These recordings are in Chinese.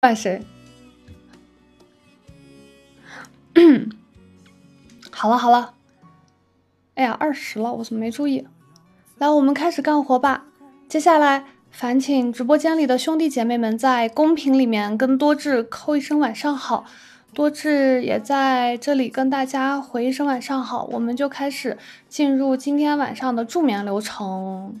怪谁？好了好了，哎呀，二十了，我怎么没注意？来，我们开始干活吧。接下来，烦请直播间里的兄弟姐妹们在公屏里面跟多智扣一声晚上好，多智也在这里跟大家回一声晚上好。我们就开始进入今天晚上的助眠流程。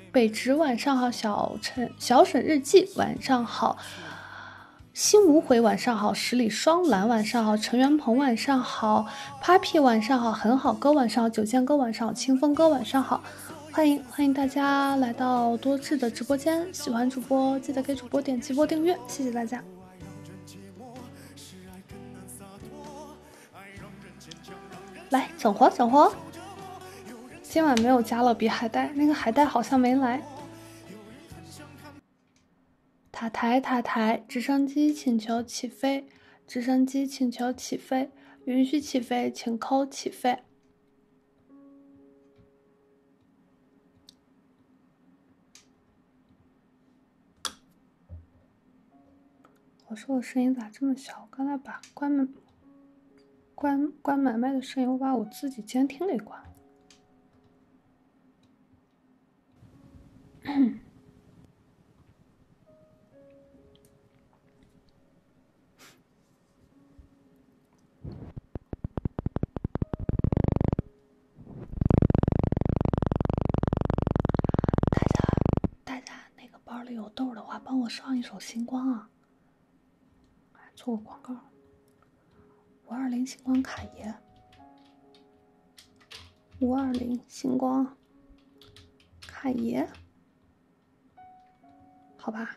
北执晚上好，小陈小沈日记晚上好，心无悔晚上好，十里双蓝晚上好，陈元鹏晚上好，Papi 晚上好，很好哥晚上好，九剑哥晚上好，清风哥晚上好，欢迎欢迎大家来到多智的直播间，喜欢主播记得给主播点击波订阅，谢谢大家。来整活，整活！今晚没有加勒比海带，那个海带好像没来。塔台，塔台，直升机请求起飞，直升机请求起飞，允许起飞，请扣起飞。我说我声音咋这么小？我刚才把关门、关关买卖的声音，我把我自己监听给关了。大家，大家。那个包里有豆的话，帮我上一首《星光》啊！做个广告，五二零星光卡爷，五二零星光卡爷，好吧。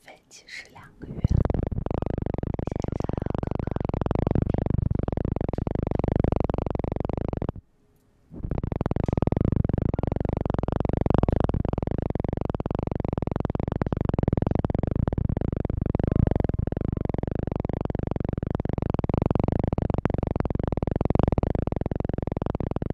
分期是两个月。现在刚刚。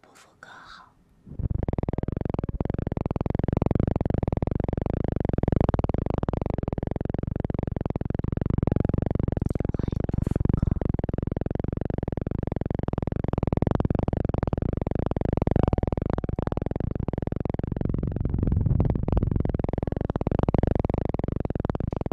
不服更好，怎么会不服？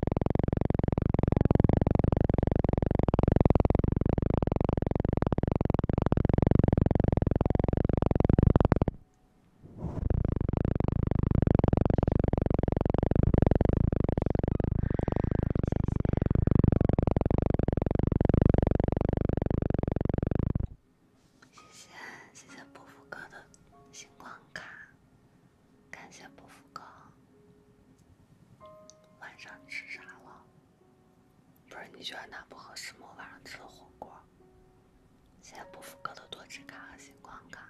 谢谢，谢谢谢谢哥的星光卡。感谢伯父哥。晚上吃啥了？不是你觉得那不合适吗？晚上吃的火锅。谢谢伯父哥的多指卡和星光卡。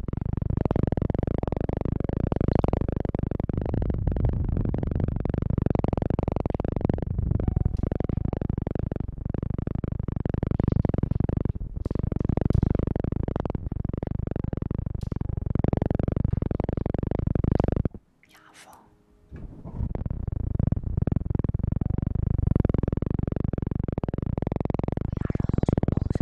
崖缝。崖上有什么东西？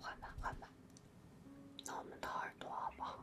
换吧换吧，那我们掏耳朵好不好？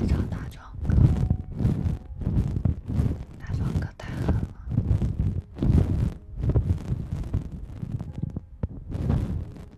别找大壮哥，大壮哥太狠了。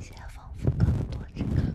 现在丰富更多质感。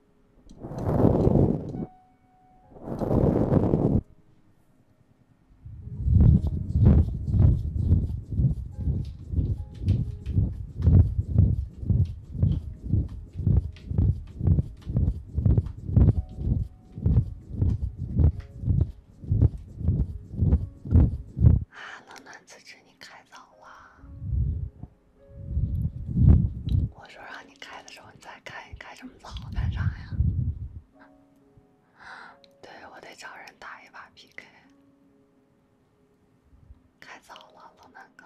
啊，冷暖自知，你开早了。我说让你开的时候，你再开，开这么早干啥呀？对我得找人打一把 PK，开早了，老南哥。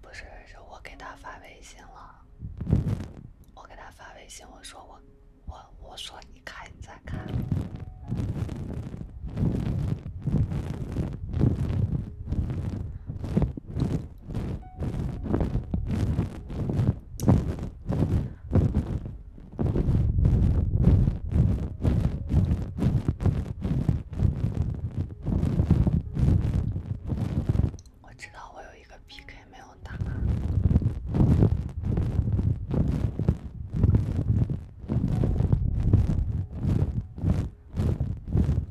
不是，是我给他发微信了。我给他发微信，我说我，我，我说你看，你再看。我知道我有一个 PK 没有打，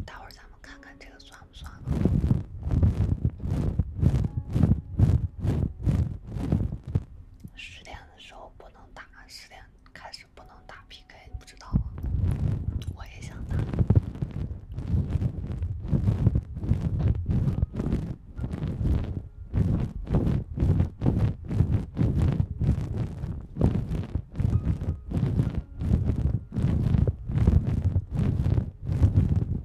待会咱们看看这个算。算了。十点的时候不能打，十点开始不能打 PK，不知道啊，我也想打。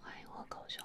欢迎我狗熊。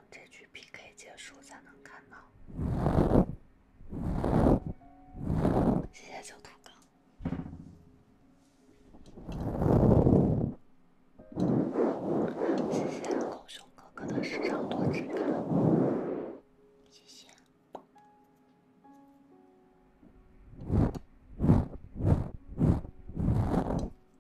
这局 PK 结束才能看到，谢谢小兔哥，谢谢狗熊哥哥的时尚多质感，谢谢。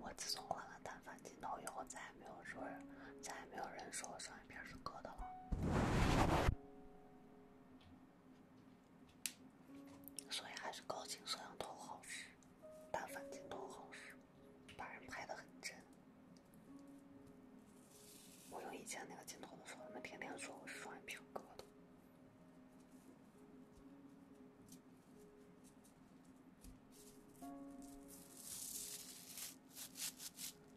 我自从换了单反镜头以后，再也没有说，再也没有人说我双眼皮是割的了。所以还是高清摄像头好使，单反镜头好使，把人拍得很真。我用以前那个镜头的时候，他们天天说我是双眼皮割的。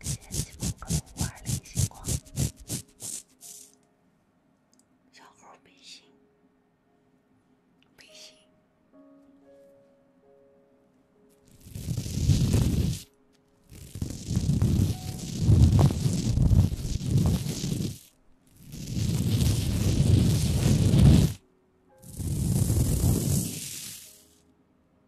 天气模块五二零，星光小猴背心，背心。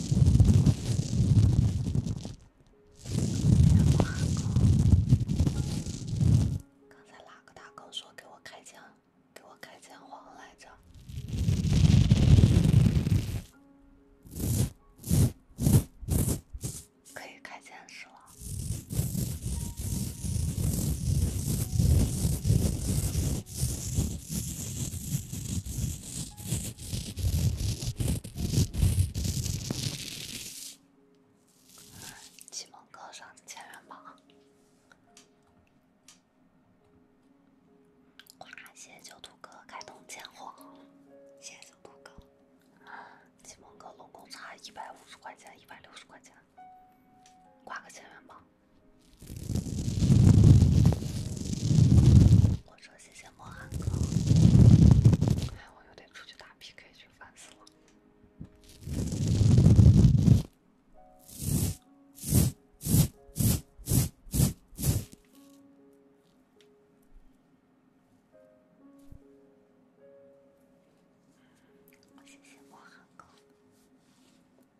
哪个大狗？刚才哪个大狗说给我开枪，给我开枪皇来着？可以开枪是了。启蒙哥上的千元榜，哇！谢谢九图哥开通千货，谢谢九图哥。启蒙哥总共差一百五十块钱，一百六十块钱，挂个千元榜。我说谢谢莫涵哥，哎，我又得出去打 PK，就烦死了。我谢谢莫涵哥。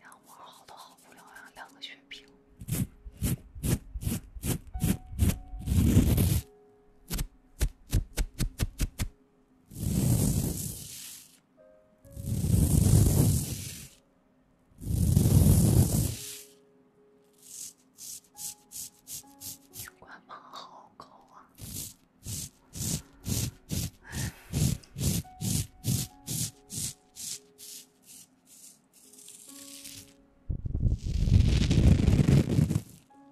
羊毛好的好不了呀，两个血瓶。官方好高啊！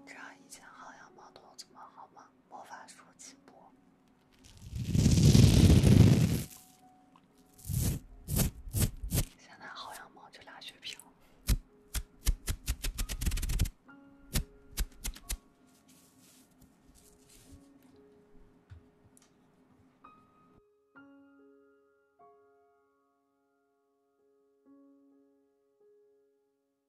扎一件好羊毛帽子好吗？魔法书直播。现在好像着俩血瓶。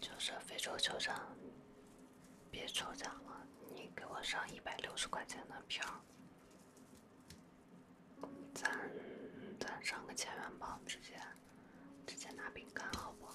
就是非洲抽奖，别抽奖了，你给我上一百六块钱的票，咱咱上个千元包，直接直接拿饼干好不好？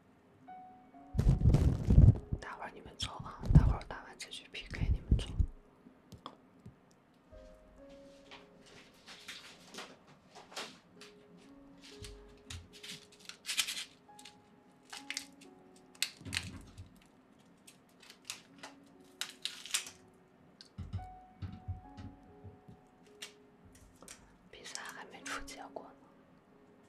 待会儿你们坐啊，待会儿打完这局 PK 你们坐。比赛还没出结果呢。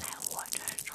来我这儿瞅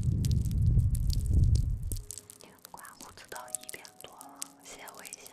你刮胡子到一点多了，谢伟先生。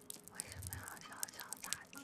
为什么要悄悄打听？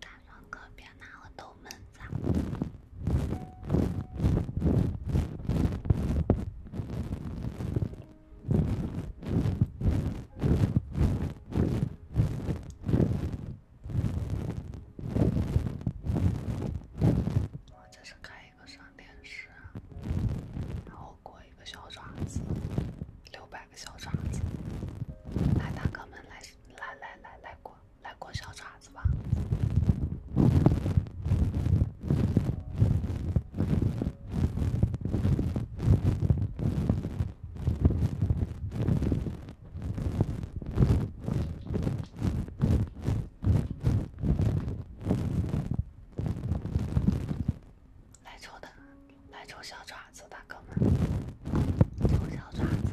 大壮哥，别拿我逗闷子。我这是开一个双电视，然后过一个小爪子，六百个小爪子，来大哥们来来来来过，来过小爪子吧。来抽的，来抽小爪子，大哥们，抽小爪子。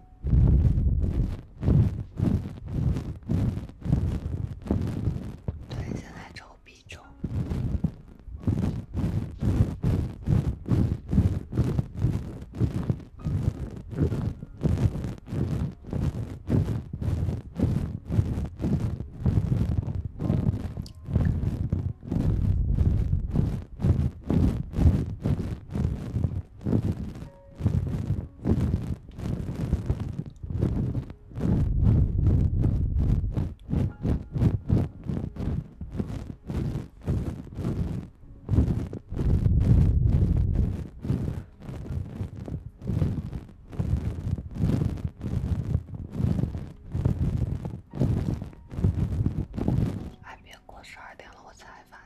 对，现在抽 B 中。还没过十二点了，我才发。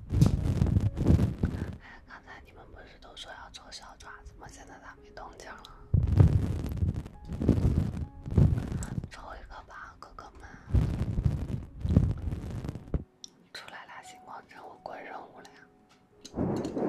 哎，刚才你们不是都说要抽小爪子吗？现在咋没动静了？抽一个吧，哥哥们！出来俩星光任务，关任务了呀？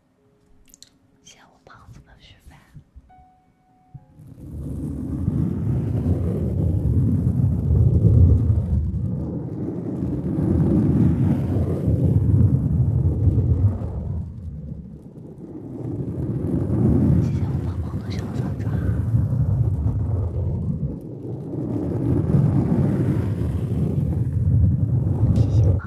谢谢我胖子的许费，谢谢我胖胖的小爪爪，谢谢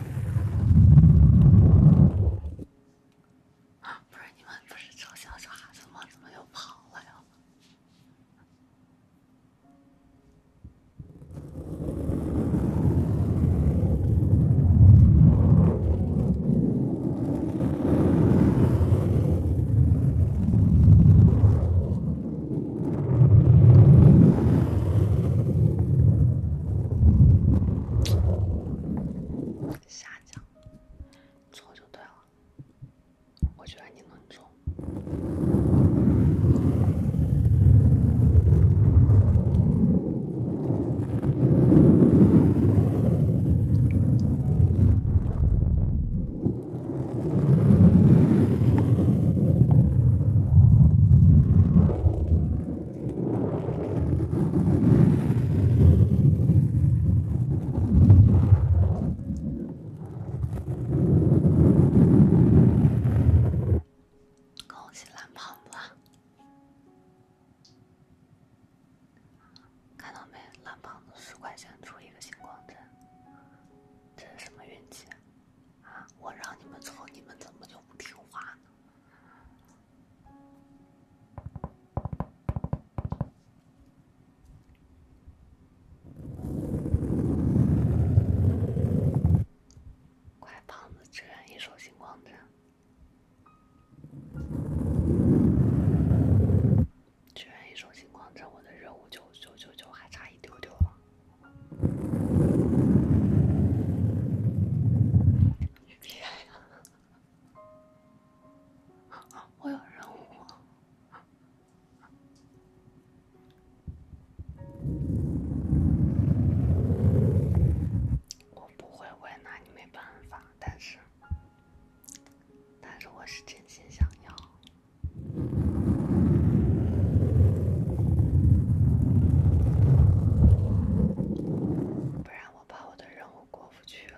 不是你们不是找小爪子吗？怎么又跑了呀？下降，错就对了。我觉得你能中。恭喜蓝胖子！看到没，蓝胖子十块钱出一个星光针，这是什么运气我让你们走，你们怎么就不听话呢？快，胖子支援一首《星光镇》。支援一首《星光镇》，我的任务就九九九，还差一丢丢啊！我有任务。我不会，我也拿你没办法。但是，但是我是真心想要。不然，我怕我的任务过不去了。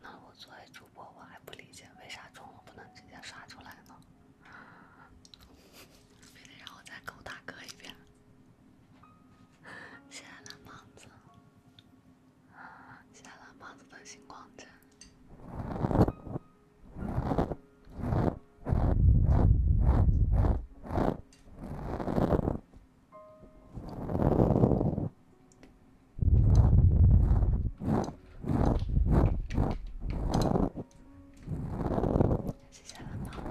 那我作为主播，我还不理解为啥中午不能直接刷出来呢？非得让我再勾大哥一遍。谢谢蓝胖子。下了胖子的星光针，谢谢了胖子。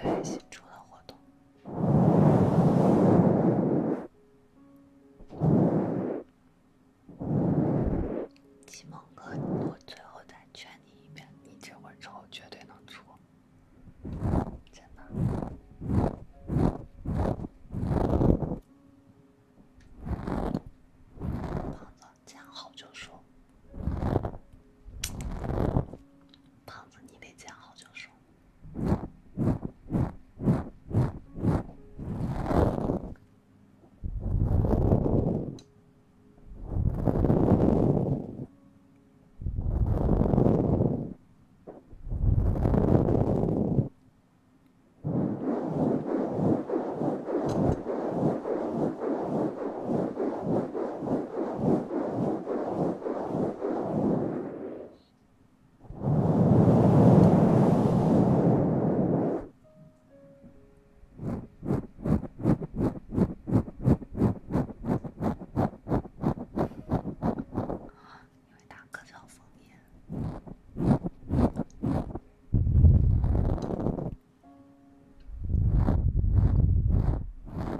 对，新出的活动。启蒙哥，我最后再劝你一遍，你这会儿之后绝对能出，真的。胖子，见好就收。胖子，你得见好就收。你会打个草风眼？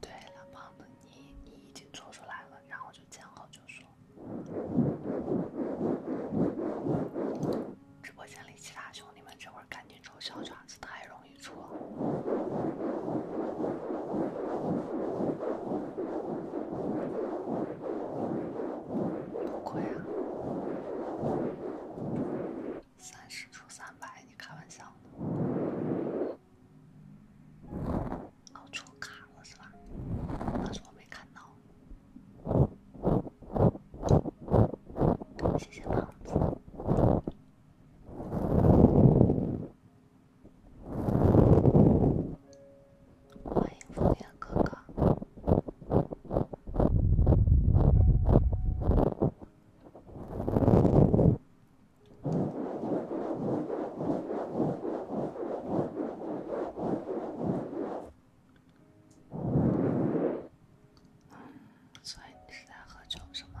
对了，胖子，你你已经做出来了，然后就见好就收。直播间里其他兄弟们，这会儿赶紧抽小爪子，太容易出了。不三十出三百，你开玩笑呢？哦，出卡了是吧？是我没看到。谢谢胖子，欢迎风雅哥哥。所以你是在喝酒是吗？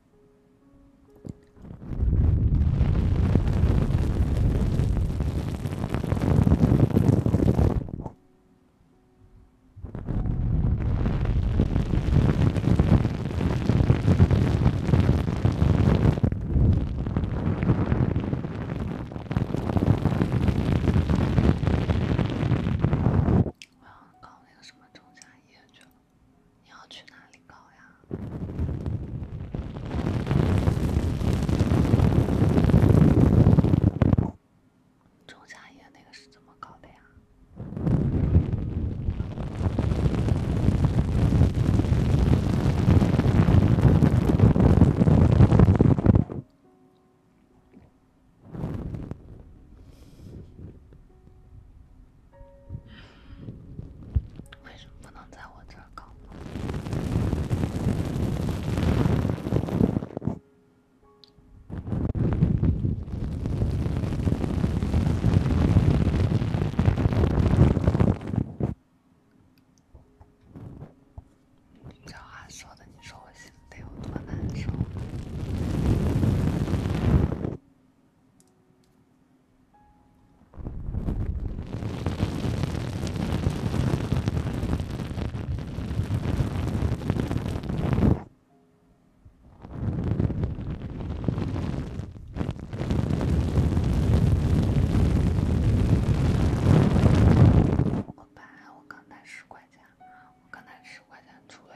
我要搞那个什么中加夜去了。你要去哪里搞呀？中家液那个是怎么搞的呀？为什么不能在我这儿搞？这话说的，你说我心里得有多难受？我白，我刚打十块钱，我刚打十块钱，出了。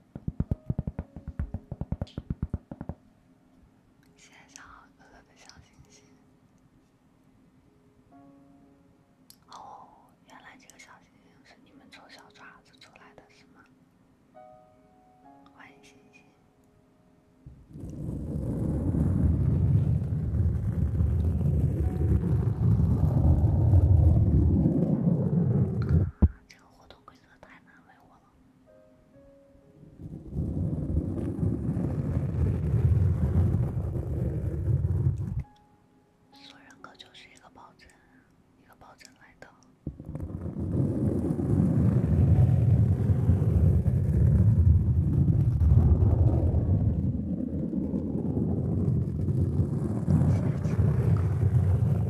谢谢小哥哥的小星星。哦，原来这个小星星是你们从小爪子出来的吗？欢迎新群。这个活动规则太难为我。做人口就是一个保证，一个保证来的。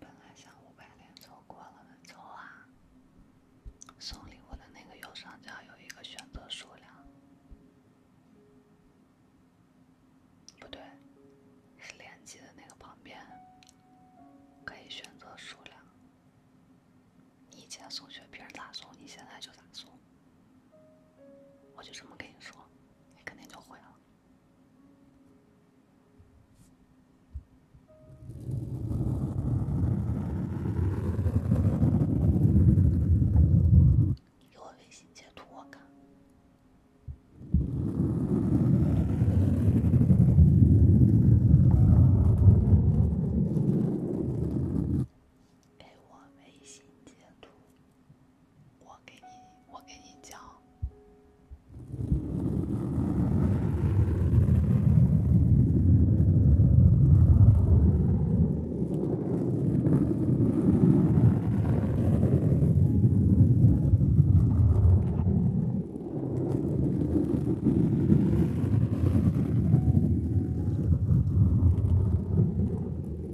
本来想五百连抽过了的抽啊，送礼物的那个右上角有一个选择数量，不对，是连击的那个旁边可以选择数量。你以前送雪瓶咋送，你现在就咋送，我就这么跟你说，你肯定就会了。你给我微信截图，我看。给我微信截图。我给你，我给你讲。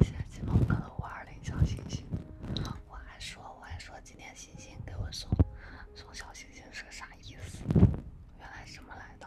谢谢金毛哥的五二零小星星，我还说我还说今天星星给我送送小星星是个啥意思？原来这么来的。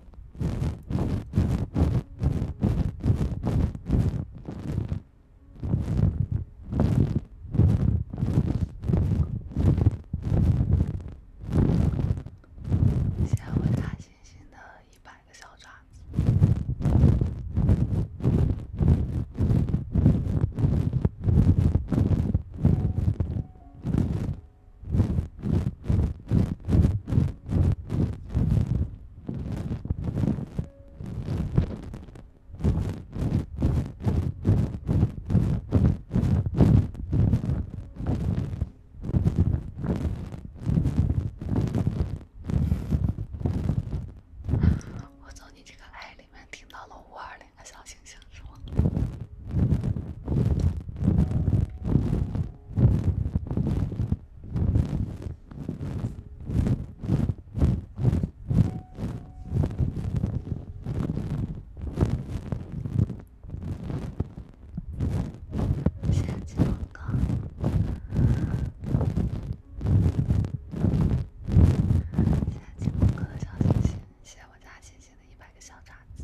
献给大猩猩的一百个小爪子。我从你这个爱里面听到了五二零的小星星，是吗？谢谢金风哥，谢谢金风哥的小星星，谢谢我家星星的一百个小爪子。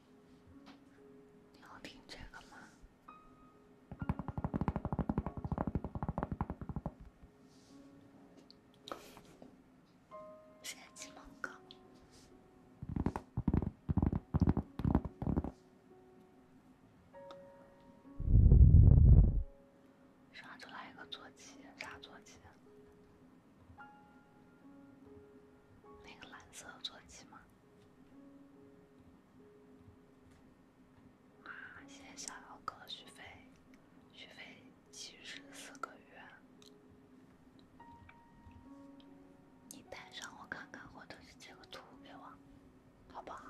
你要听这个吗？随机蒙个，刷出来一个坐骑，啥坐骑？那个蓝色坐骑吗？啊！谢谢逍遥哥续费，续费七十四个月。你带上我看看，或者是截个图给我，好不好？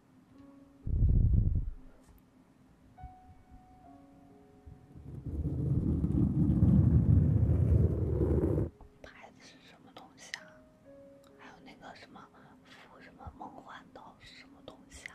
牌子是什么东西啊？还有那个什么，什么梦幻岛什么东西啊？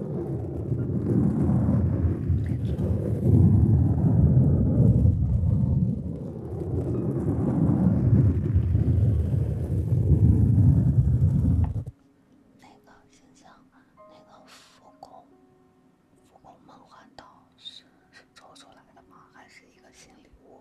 那个形象，那个福公福公梦幻岛是抽出来的吗？还是一个新礼物？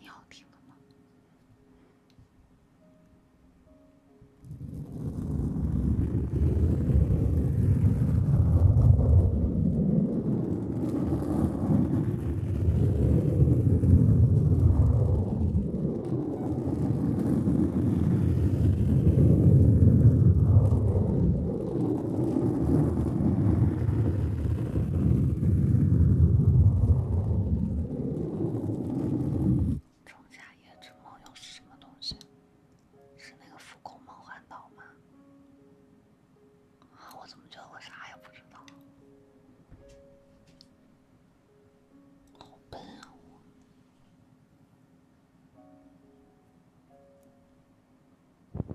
你好听了吗？《庄稼夜之梦》又是什么东西？是那个《复古梦幻岛》吗？啊，我怎么觉得我啥也不知道？好笨啊我！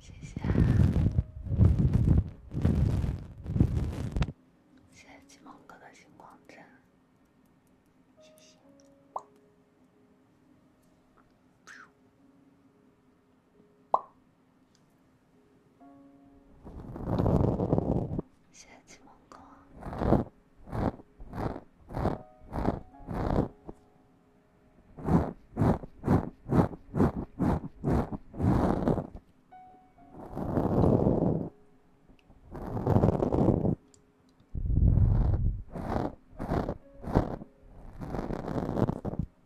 谢谢，谢谢启梦哥的星光针，谢谢。谢谢弃我。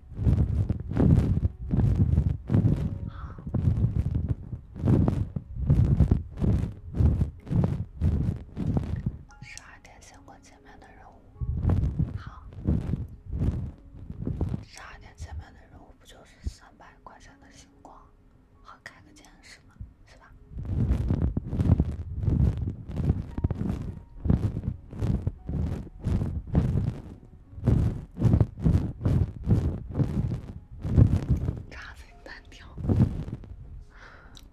十二点星光见面的任务，好。十二点见面的任务不就是三百块钱的星光和开个见识吗？是吧？差分单挑，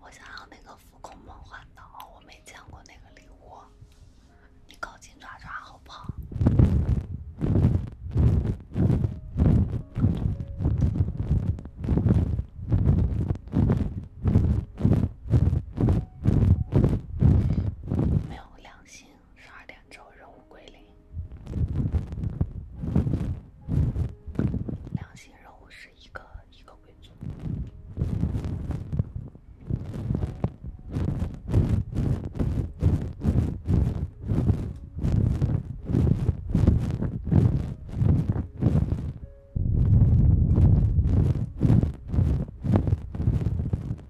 我想要那个复古梦幻岛，我没见过那个礼物，你搞金爪爪好不好？没有良心。十二点之后任务归零。两星任务是一个一个贵族。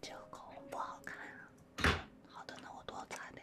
这个口红不好看啊！好的，那我多擦点。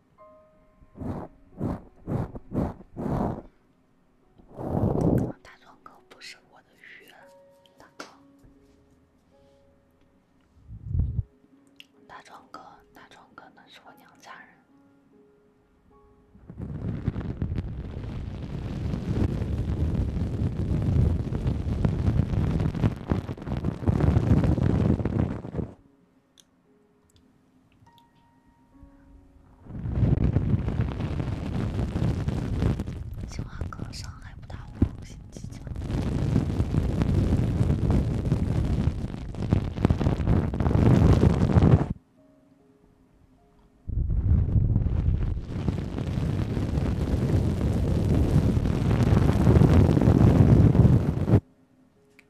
大壮哥不是我的鱼，大哥。大壮哥，大壮哥那是我娘家人。清华高上还不打五星技巧。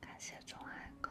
感谢钟爱哥。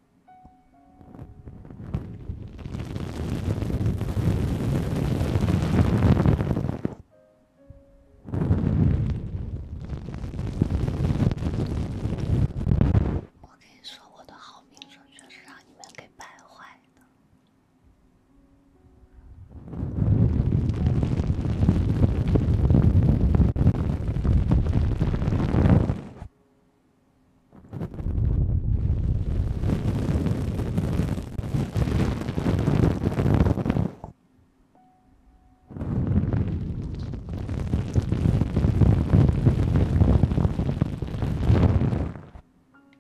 我跟你说，我的好名声确实让你们给败坏的。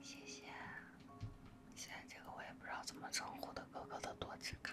谢谢，现在这个我也不知道怎么称呼的哥哥的多只卡。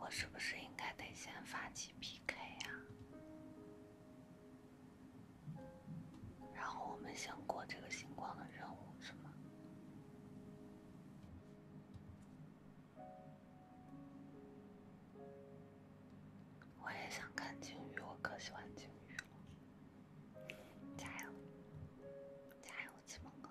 我是不是应该得先发起 PK 呀？然后我们先过这个星光的任务，是吗？我也想看鲸鱼，我可喜欢鲸鱼了！加油，加油，启蒙哥！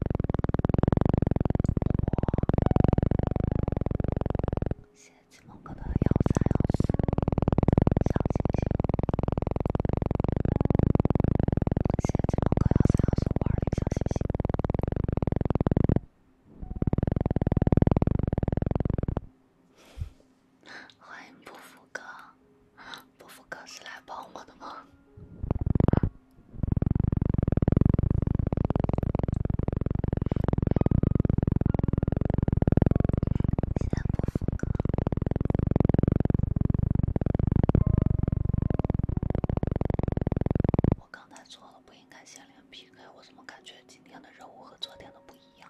谢谢金龙哥的幺三幺谢谢金龙哥幺三幺四玩儿的小星星。欢迎不服哥，不服哥是来帮我的吗？现在不风格。我刚才错了，不应该先连 PK。我怎么感觉今天的任务和昨天的不一样？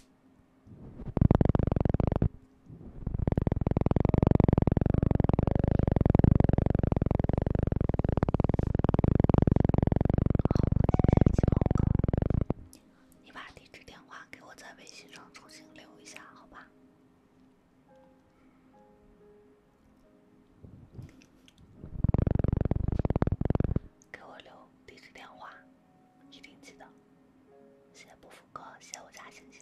好，谢谢七毛哥。你把地址电话给我在微信上重新留一下，好吧？给我留地址电话。一定记得，谢谢不服哥，谢谢我家星星。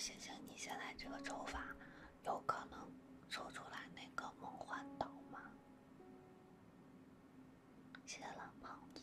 行行，你现在这个抽法，有可能抽出来那个梦幻岛吗？谢谢老胖子。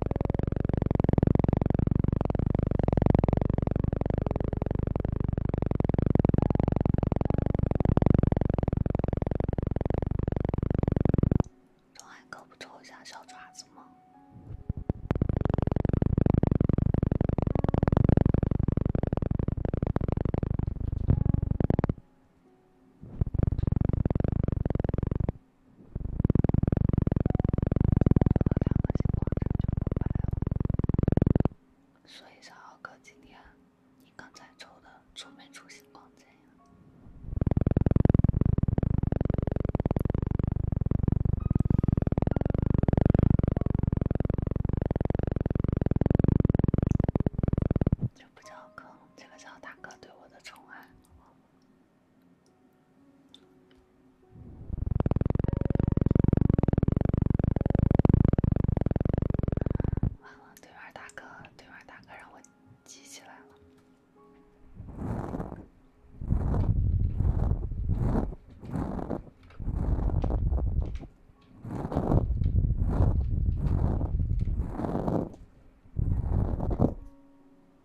小海狗不抽一下小爪子吗？说一下，浩哥，今天你刚才抽的出没出星光剑呀？这个叫坑，这个叫大哥对我的宠爱。完了，对面大哥，对面大哥让我记起来了。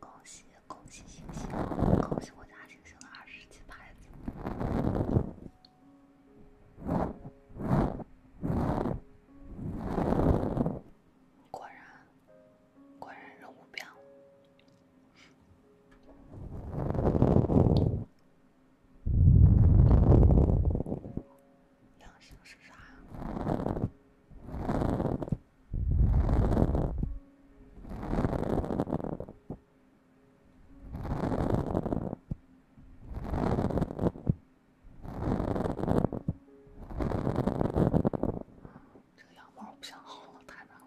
恭喜恭喜星星，恭喜我家星星的二十级牌子！果然，果然任务变了。阳性是啥？这个羊毛我不想薅了，太难了。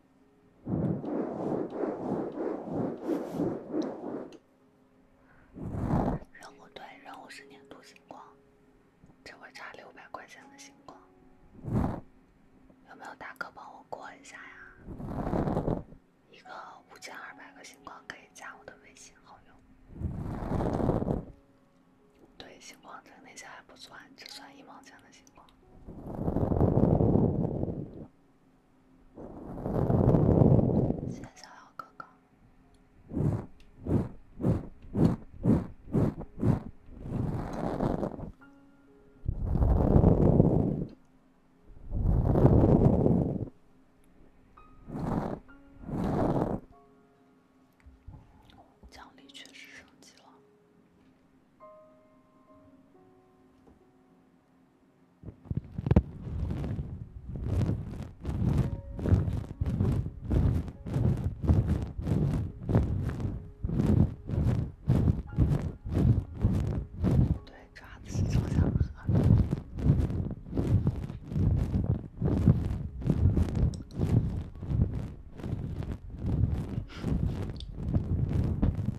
然后对，然后是点土星光，这回差六百块钱的星光，有没有大哥帮我过一下呀？一个五千二百个星光可以加我的微信好友。对，星光这那些还不算，只算一毛钱的星光。谢逍遥哥哥，奖励确实升级了。对，抓的是长江河。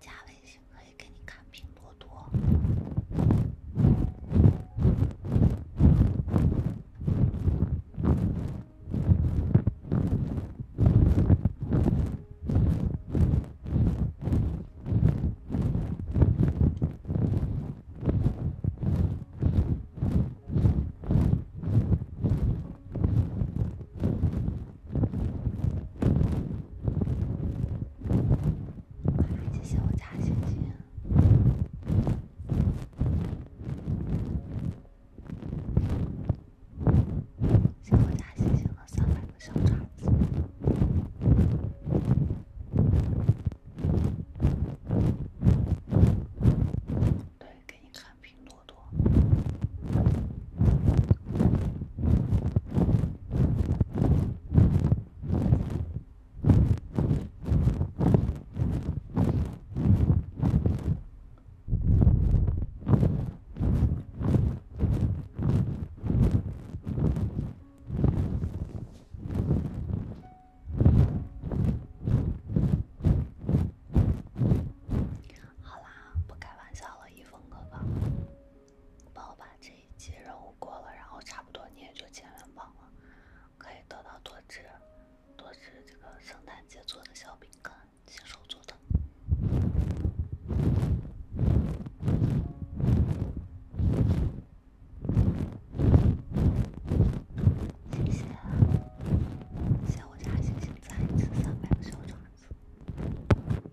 加微信可以给你看拼多多。谢谢我家星星，谢谢我家星星的三百个小爪子。对，给你看拼多多。好啦，不开玩笑了，一峰哥哥，帮我把这。以及任务过了，然后差不多你也就千元榜了，可以得到多只多只这个圣诞节做的小饼干，亲手做的。谢谢，谢我家星星赞一次三百个小爪子。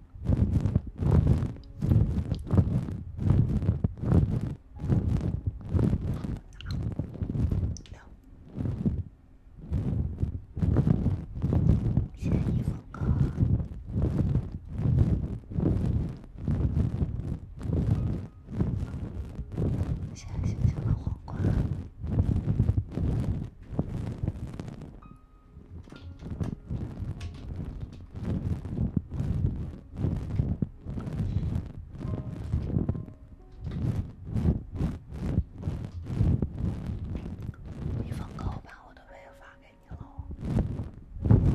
建议风格：下星星的皇冠。你放歌，我把我的微发给你喽。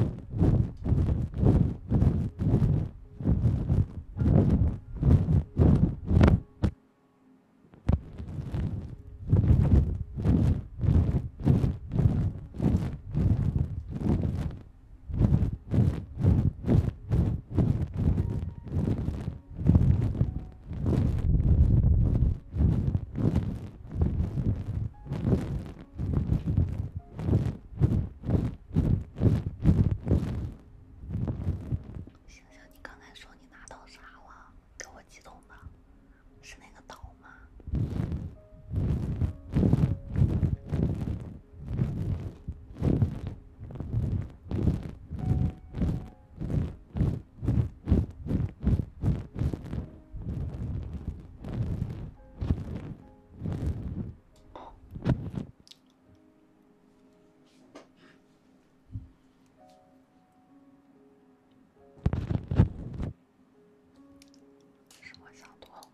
想想，你刚才说你拿到啥了？给我激动的。是那个岛吗？是我想多了。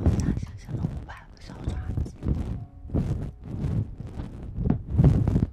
我想，想象到我买了小爪子。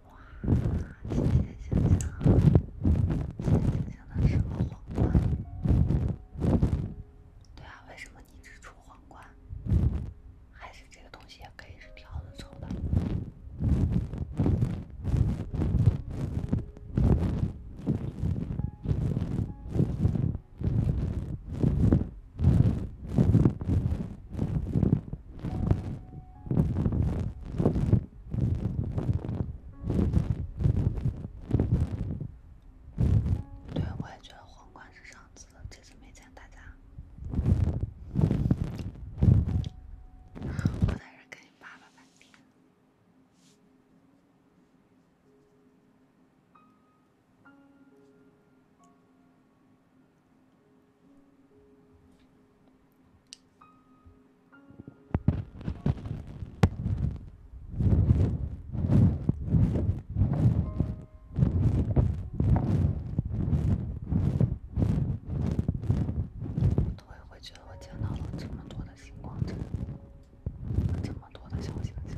哇！谢谢星星，谢谢星星的十个皇冠。对啊，为什么你只出皇冠？还是这个东西也可以是挑的抽的？对，我还觉得皇冠是上次的，这次没见大家。我还是跟你爸爸吧。我突然会觉得，我见到了这么多的星光，这么多的小星星。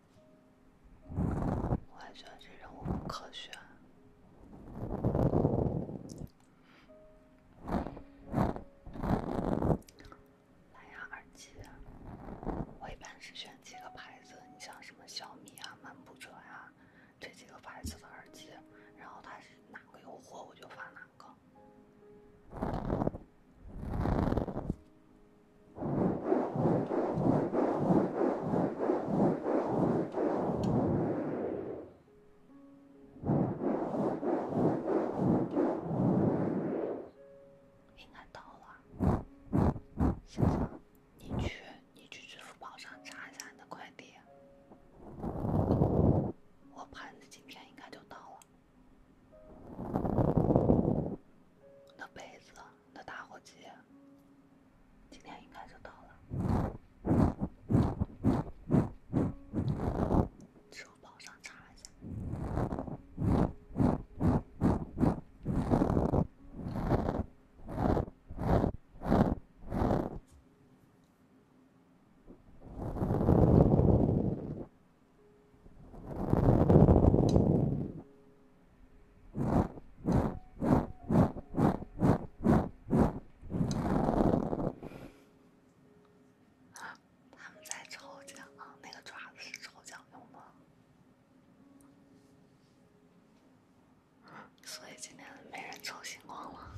我还觉得这种不科学。蓝牙耳机，我一般是选几个牌子，你像什么小米啊、漫步者呀，这几个牌子的耳机，然后它是哪个有货我就发哪个。应该到了。你去，你去支付宝上查一下你的快递。我盘子今天应该就到了。杯子。的打火机，今天应该就到了。支付宝上查一下。他们在抽奖，那个爪子是抽奖用的，所以今天没人抽星光了。